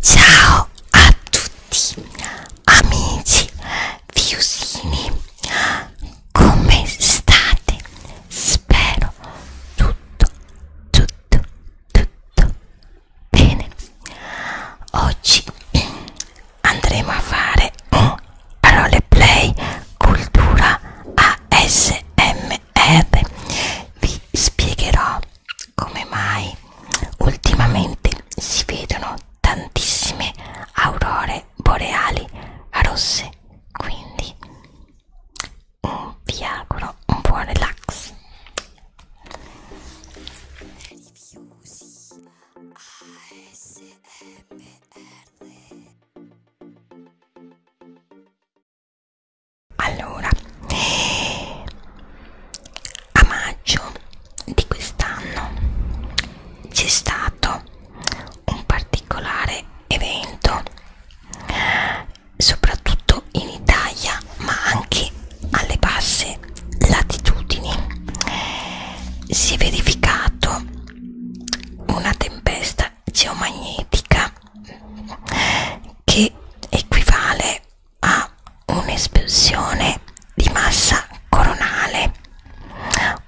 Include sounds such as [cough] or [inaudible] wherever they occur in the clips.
Ciao a tutti amici fiusini, come state? Spero tutto, tutto, tutto bene. Oggi andremo a fare un roleplay cultura ASMR. Vi spiegherò come mai ultimamente si vedono tantissime aurore boreali rosse quindi vi auguro un buon relax allora a maggio di quest'anno c'è stato un particolare evento soprattutto in Italia ma anche alle basse latitudini si è verificato una tempesta geomagnetica che equivale a un'espulsione di massa coronale,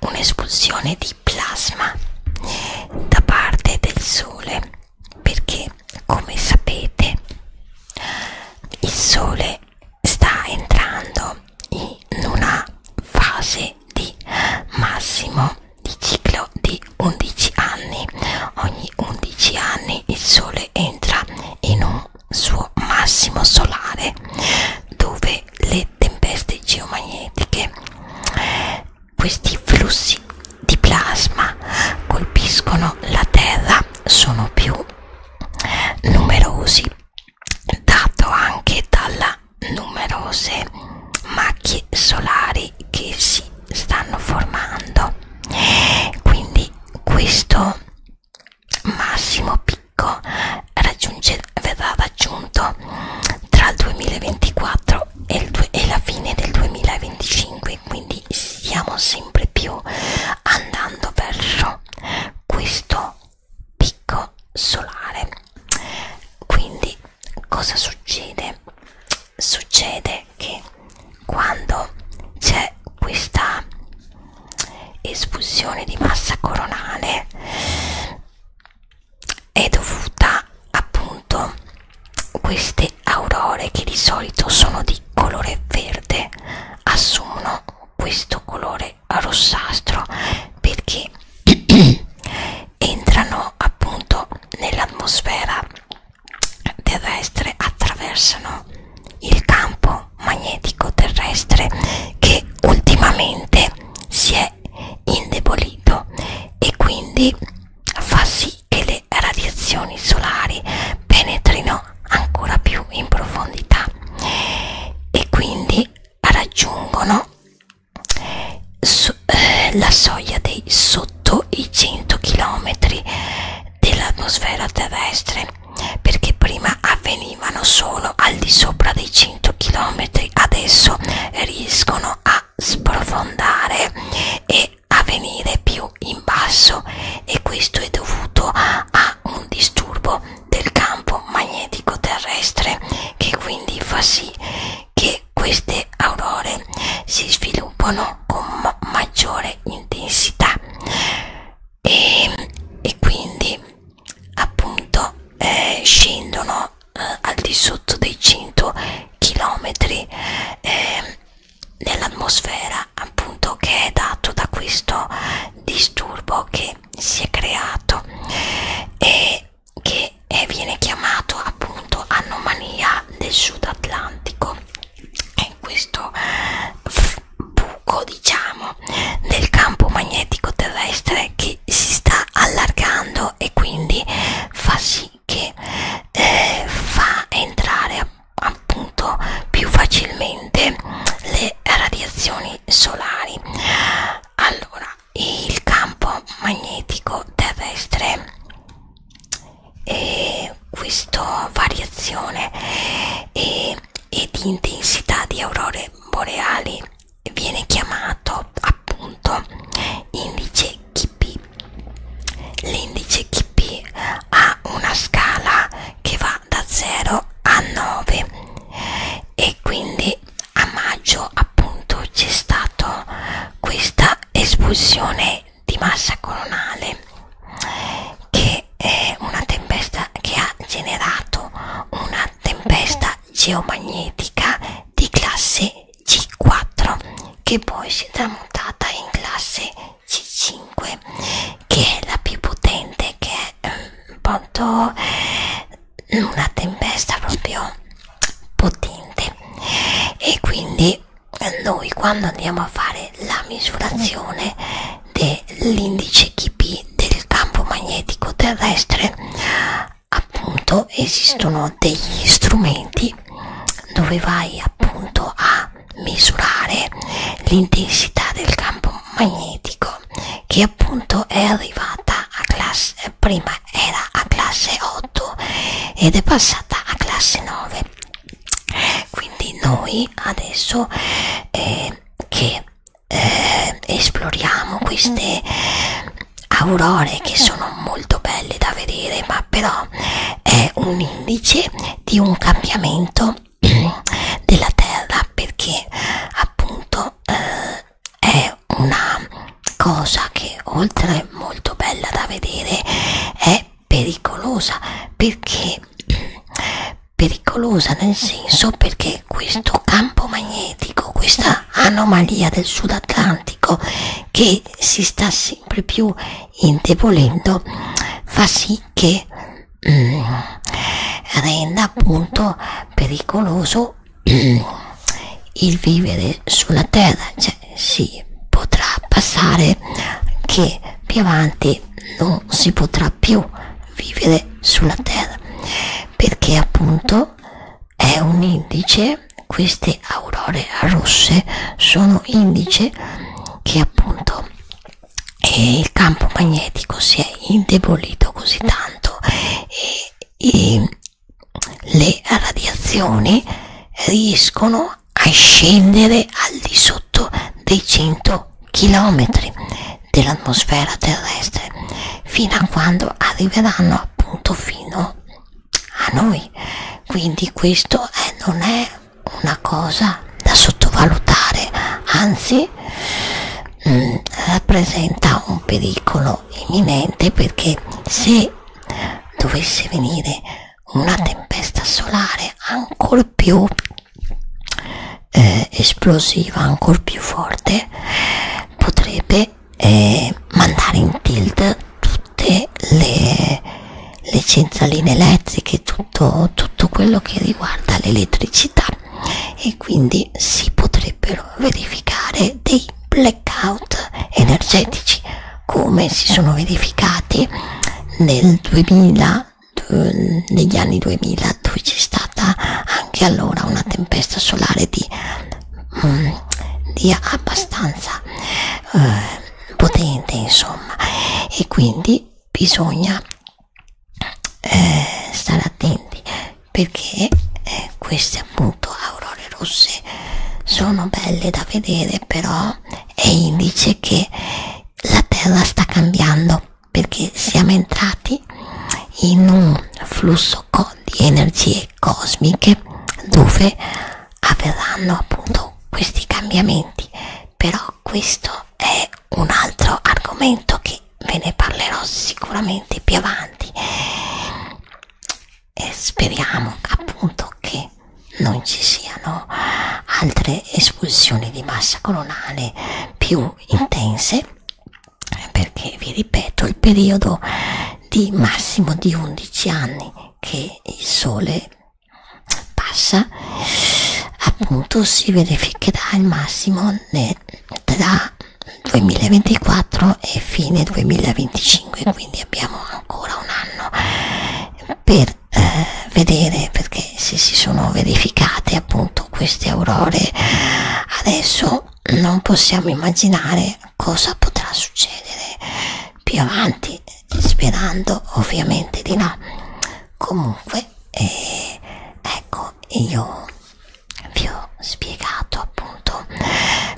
un'espulsione di plasma da parte del Sole, perché come sapete il Sole sta entrando in una fase di massimo di ciclo di 11 anni. Ogni 11 anni il Sole entra in un suo massimo solare dove le tempeste geomagnetiche, questi flussi di plasma colpiscono la Terra, sono più numerosi, dato anche dalle numerose macchie solari che si stanno formando quindi questo massimo picco verrà raggiunto tra il 2024 e, il due, e la fine del 2025 quindi stiamo sempre più andando verso questo picco solare quindi cosa succede succede che quando c'è questa espulsione di massa coronale è dovuta appunto a queste aurore che di solito sono di colore verde assumono questo colore rossastro perché entrano appunto nell'atmosfera terrestre attraversano il campo magnetico terrestre che ultimamente si è indebolito e quindi fa sì che le radiazioni solari penetrino ancora più in profondità e quindi raggiungono so, eh, la soglia dei sotto i 100 km dell'atmosfera terrestre perché prima avvenivano solo al di sopra dei 100 km adesso riescono a sprofondare e a venire più in basso e questo è dovuto a un disturbo del campo magnetico terrestre che quindi fa sì che queste aurore si sviluppano con ma maggiore intensità e, e quindi appunto eh, scendono eh, al di sotto dei 100 km eh, nell'atmosfera appunto che è dato da questo disturbo che si è creato e che viene chiamato appunto anomalia del sud atlantico è questo buco diciamo del campo magnetico terrestre che si sta allargando e quindi fa sì che eh, fa entrare appunto più facilmente le radiazioni solari allora il campo magnetico terrestre e eh, questa variazione e, eh, e di intensità di aurore boreali viene chiamato appunto indice KP l'indice KP ha una scala che va da 0 a 9 e quindi a maggio appunto c'è stata questa espulsione di massa coronale che è una tempesta che ha generato una tempesta geomagnetica di classe G4 che poi si è tramutata in classe C5 che è la più potente che è pronto una tempesta proprio potente e quindi noi quando andiamo a fare la misurazione dell'indice KP del campo magnetico terrestre appunto esistono degli strumenti dove vai appunto a misurare l'intensità del campo magnetico che appunto è arrivata a classe eh, prima era a classe 8 ed è passata a classe 9 quindi noi adesso eh, che eh, esploriamo queste aurore che sono molto belle da vedere ma però è un indice di un cambiamento [coughs] della terra perché appunto eh, è una cosa che oltre molto bella da vedere è pericolosa perché [coughs] pericolosa nel senso perché questo campo magnetico questa anomalia del sud atlantico che si sta sempre più indebolendo fa sì che eh, renda appunto pericoloso [clears throat] il vivere sulla terra cioè si potrà passare che più avanti non si potrà più vivere sulla terra perché appunto è un indice queste aurore rosse sono indice che appunto e il campo magnetico si è indebolito così tanto e, e le radiazioni riescono a scendere al di sotto dei 100 km dell'atmosfera terrestre fino a quando arriveranno appunto fino a noi quindi questo è, non è una cosa da sottovalutare, anzi mh, mm, rappresenta un pericolo imminente perché se dovesse venire una tempesta solare ancora più eh, esplosiva, ancora più forte, potrebbe eh, mandare in tilt tutte le le cenzaline elettriche, tutto, tutto quello che riguarda l'elettricità e quindi si potrebbero verificare dei blackout energetici come si sono verificati nel 2000 negli anni 2000 dove c'è stata anche allora una tempesta solare di, mm, di abbastanza eh, potente insomma e quindi bisogna eh, stare attenti perché eh, queste appunto aurore rosse sono belle da vedere però è indice che la terra sta cambiando perché siamo entrati in un flusso di energie cosmiche dove avverranno appunto questi cambiamenti però questo è un altro argomento che ve ne parlerò sicuramente più avanti e speriamo appunto che non ci siano altre espulsioni di massa colonale più intense perché vi ripeto il periodo di massimo di 11 anni che il sole passa appunto si verificherà il massimo nel, tra 2024 e fine 2025 quindi abbiamo ancora un anno per eh, vedere perché se si sono verificate appunto queste aurore adesso non possiamo immaginare cosa potrà succedere più avanti sperando ovviamente di là comunque eh, ecco io vi ho spiegato appunto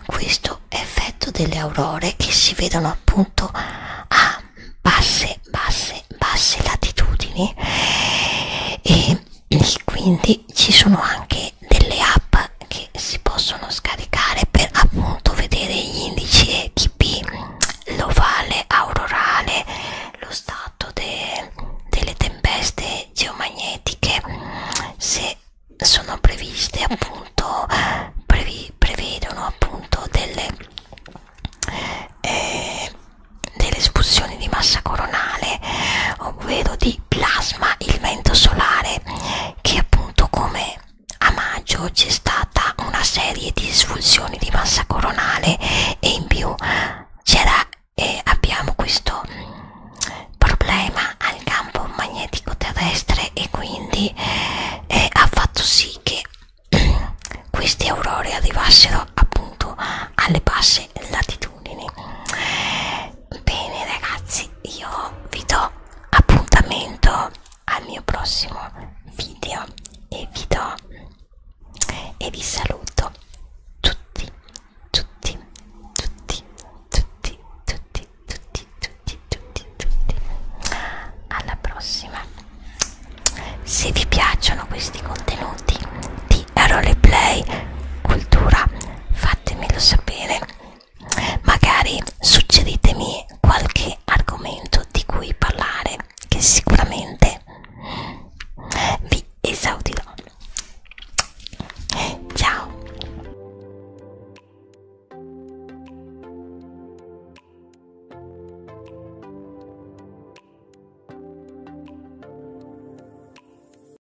questo effetto delle aurore che si vedono appunto a basse basse basse latitudini e, e quindi ci sono anche anche delle app che si possono scaricare per appunto vedere gli indici ETP, l'ovale aurorale, lo stato de, delle tempeste geomagnetiche, se sono previste appunto, previ, prevedono appunto delle, eh, delle espulsioni di massa coronale, ovvero di plasma, il vento solare che appunto come a maggio c'è stata una serie di disfunzioni di massa coronale e in più c'era eh, abbiamo questo mh, mm, problema al campo magnetico terrestre e quindi eh, ha fatto sì che mm, queste aurore arrivassero appunto alle basse latitudini bene ragazzi io vi do appuntamento al mio prossimo video e vi do e vi saluto tutti tutti tutti tutti tutti tutti tutti tutti tutti alla prossima se vi piacciono questi contenuti di roleplay cultura fatemelo sapere magari suggeritemi qualche argomento di cui parlare che sicuramente vi esaudirò ciao